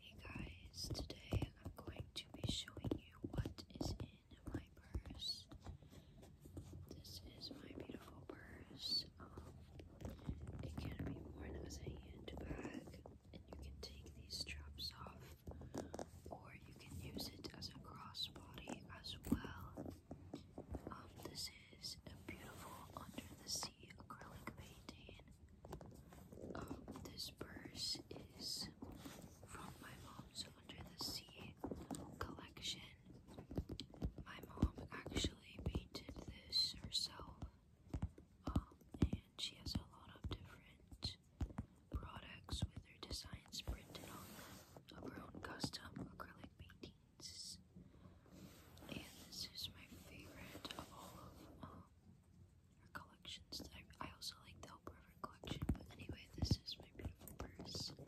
Hey guys, today I'm going to be showing you what is in my purse. This is my beautiful purse. Um, it can be worn as a handbag, and you can take these straps off, or you can use it as a crossbody as well. Um, this is a beautiful under the see acrylic painting. Um, this purse is from my mom's Under the Sea collection. My mom actually painted this herself, um, and she has a lot of different products with her designs printed on them of her own custom acrylic paintings. And this is my favorite of all of um, collections. I, also like the whole River collection, but anyway, this is my beautiful purse. And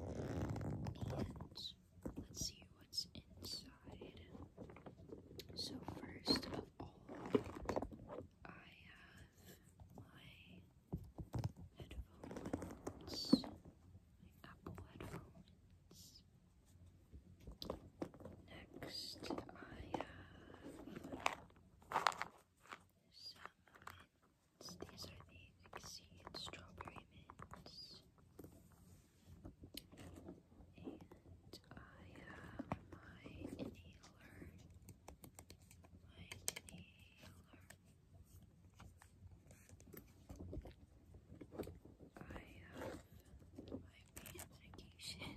let's see what's inside. So, first of all, I have my headphones, my Apple headphones. Next, I have some mints. These are the Exceed Strawberry Mints. And I have my inhaler. My inhaler. I have my magnification.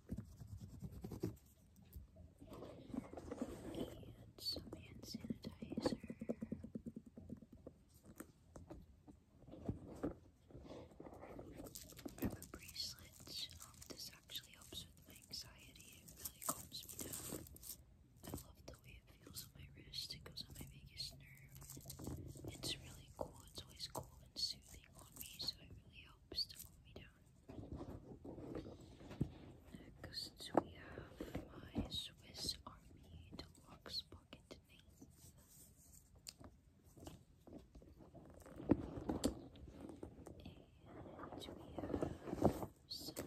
And some hand sanitizer. I have a bracelet. this actually helps with my anxiety. It really calms me down. I love the way it feels on my wrist. It goes on my vagus nerve. It's really cool. It's always cool and soothing on me, so it really helps props we have my Swiss Army Deluxe Pocket Knife. And we have some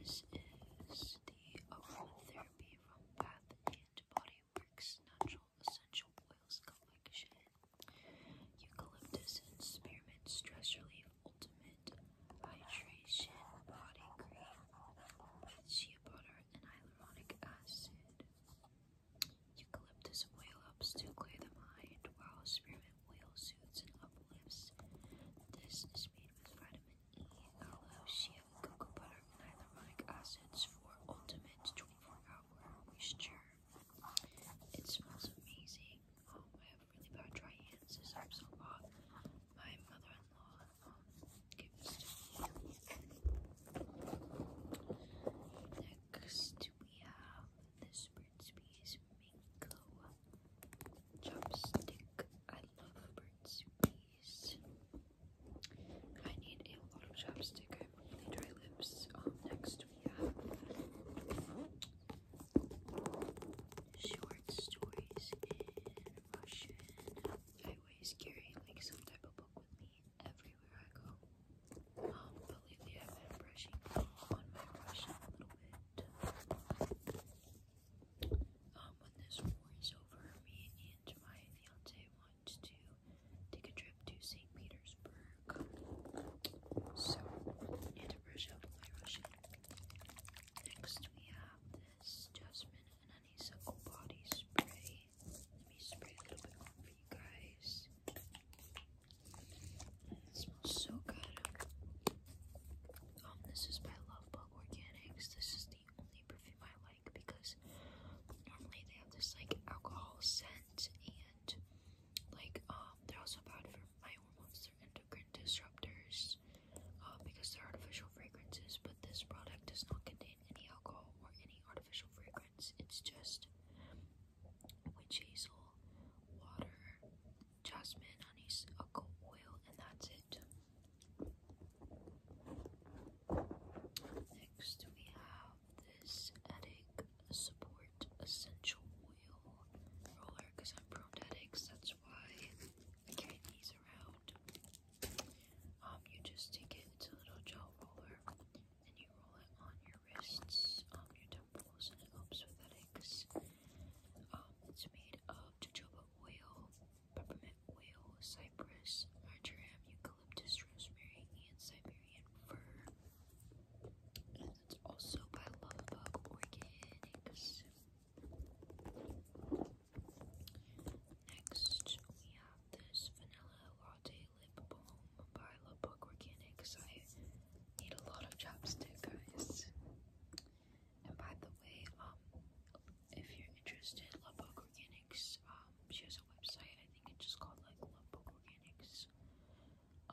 This is the aromatherapy from Bath and Body bricks, natural essential oils, collection, eucalyptus and spearmint, stress relief, ultimate hydration, body cream, with shea butter, and hyaluronic acid. Eucalyptus oil helps to clear the mind, while spearmint oil soothes and uplifts. This is made with vitamin E, aloe, shea cocoa butter, and hyaluronic acids for ultimate 24-hour moisture. It smells amazing. Oh, I have really bad dry hands. This My mother-in-law um, Next, we have this Burt's Bees Chopstick. I love Burt's I need a lot of chapstick. I really dry lips. Um, next we have short stories in Russian. I always carry like some type of book with me everywhere I go. Um, lately I've been brushing on my Russian a little bit. Um, when this war is over, me and my fiance to take a trip to St. Petersburg. So, and to Next, we have this jasmine and honeysuckle body spray. Let me spray a little bit on for you guys. smells so good. Um, this is by Love Organics. This is the only perfume I because normally they have this like alcohol scent and like um they're also bad for my hormones, they're endocrine disruptors uh, because they're artificial fragrances. But this product does not contain any alcohol or any artificial fragrance. It's just witch hazel, water, jasmine, honeysuckle oil, and that's it. Next, we have this headache support essential oil roller because I'm prone to headaches. That's why I carry these around. Um, you just take it. It's a little gel roller, and you roll it on your wrists, um, your temples, and it helps with headaches. Um, it's made of jojoba oil peppermint oil, cypress, marjoram, eucalyptus, rosemary, and Siberian fir. And it's also by Lovebug Organics. Next, we have this vanilla latte lip balm by Lovebug Organics. I need a lot of chapstick, guys. And by the way, um, if you're interested, Love Book Organics, um, she has a website, I think it's just called like Love Book Organics.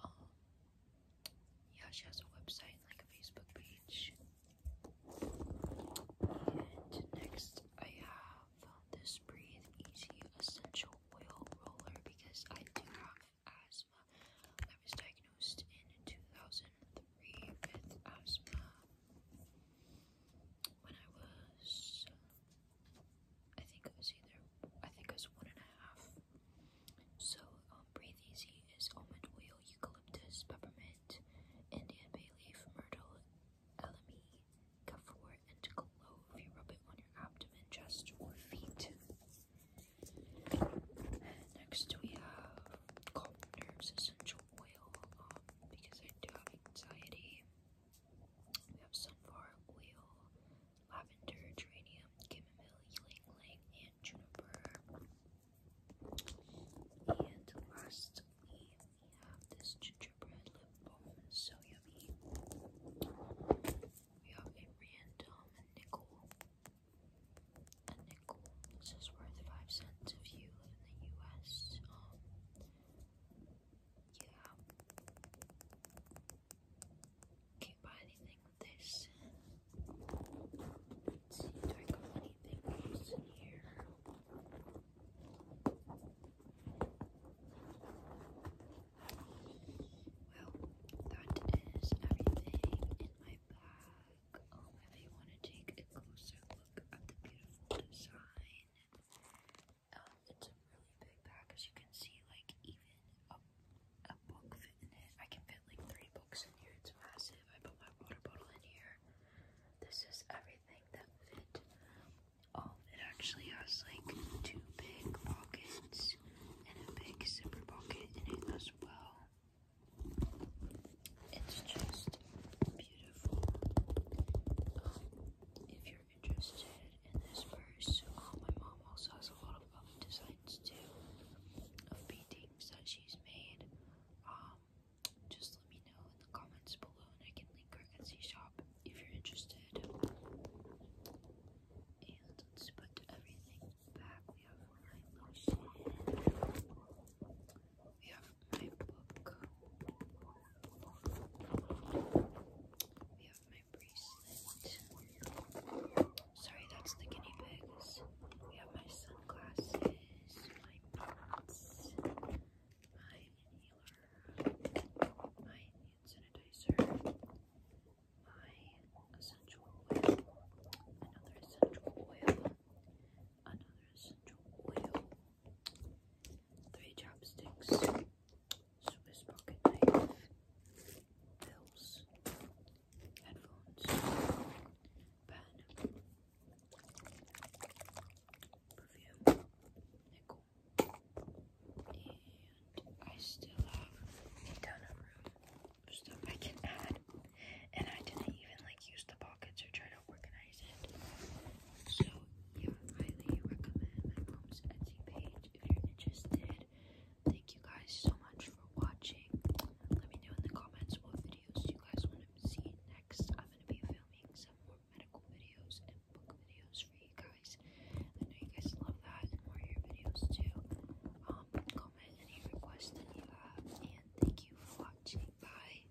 Um, yeah, she has a website and like a Facebook page. And next, I have this Breathe Easy Essential Oil Roller because I do have asthma. I was diagnosed in 2003 with asthma when I was, I think it was either, I think it was one and a half. So, um, Breathe Easy is almond oil, eucalyptus, peppermint, Indian bay leaf, myrtle, elemi, camphor, and clove. You rub it on your abdomen, chest, or feet. Next, we have calm nerves essential oil um, because I do have anxiety. We have sunflower oil, lavender, geranium, chamomile, ylang ylang, and juniper. And lastly, we have this gingerbread lip balm, so yummy. We have a random nickel. A nickel. This is worth five cents of you in the U.S. Um, yeah. Can't buy anything with this. Let's see, do I got anything else in here? Well, that is everything in my bag. Um, if you want to take a closer look at the beautiful design it's a really big pack, as you can see. Like even a, book fit in it. I can fit like three books in here. It's massive. I put my water bottle in here. This is everything that fit. Um, it actually has like two big pockets and a big zipper pocket in it as well. It's just beautiful. Um, if you're interested in this purse, um, my mom also has a lot of other designs too of paintings that she's made. Um, just let me know in the comments below, and I can link her Etsy shop if you're interested. And let's put everything back. We have our lotion we have my book. We have my bracelet. Sorry, that's the guinea pigs. We have my sunglasses, my nuts, my inhaler, my hand my essential oil, another essential oil, another essential oil three chopsticks, Swiss pocket knife, pills, headphones, pen, perfume, nickel, and I still have a ton of room of stuff I can add, and I didn't even like use the pockets or try to organize so yeah, highly recommend my mom's Etsy page if you're interested. Thank you guys so much for watching. Let me know in the comments what videos you guys want to see next. I'm gonna be filming some more medical videos and book videos for you guys. I know you guys love that and more your videos too. Um, comment any requests that you have, and thank you for watching. Bye.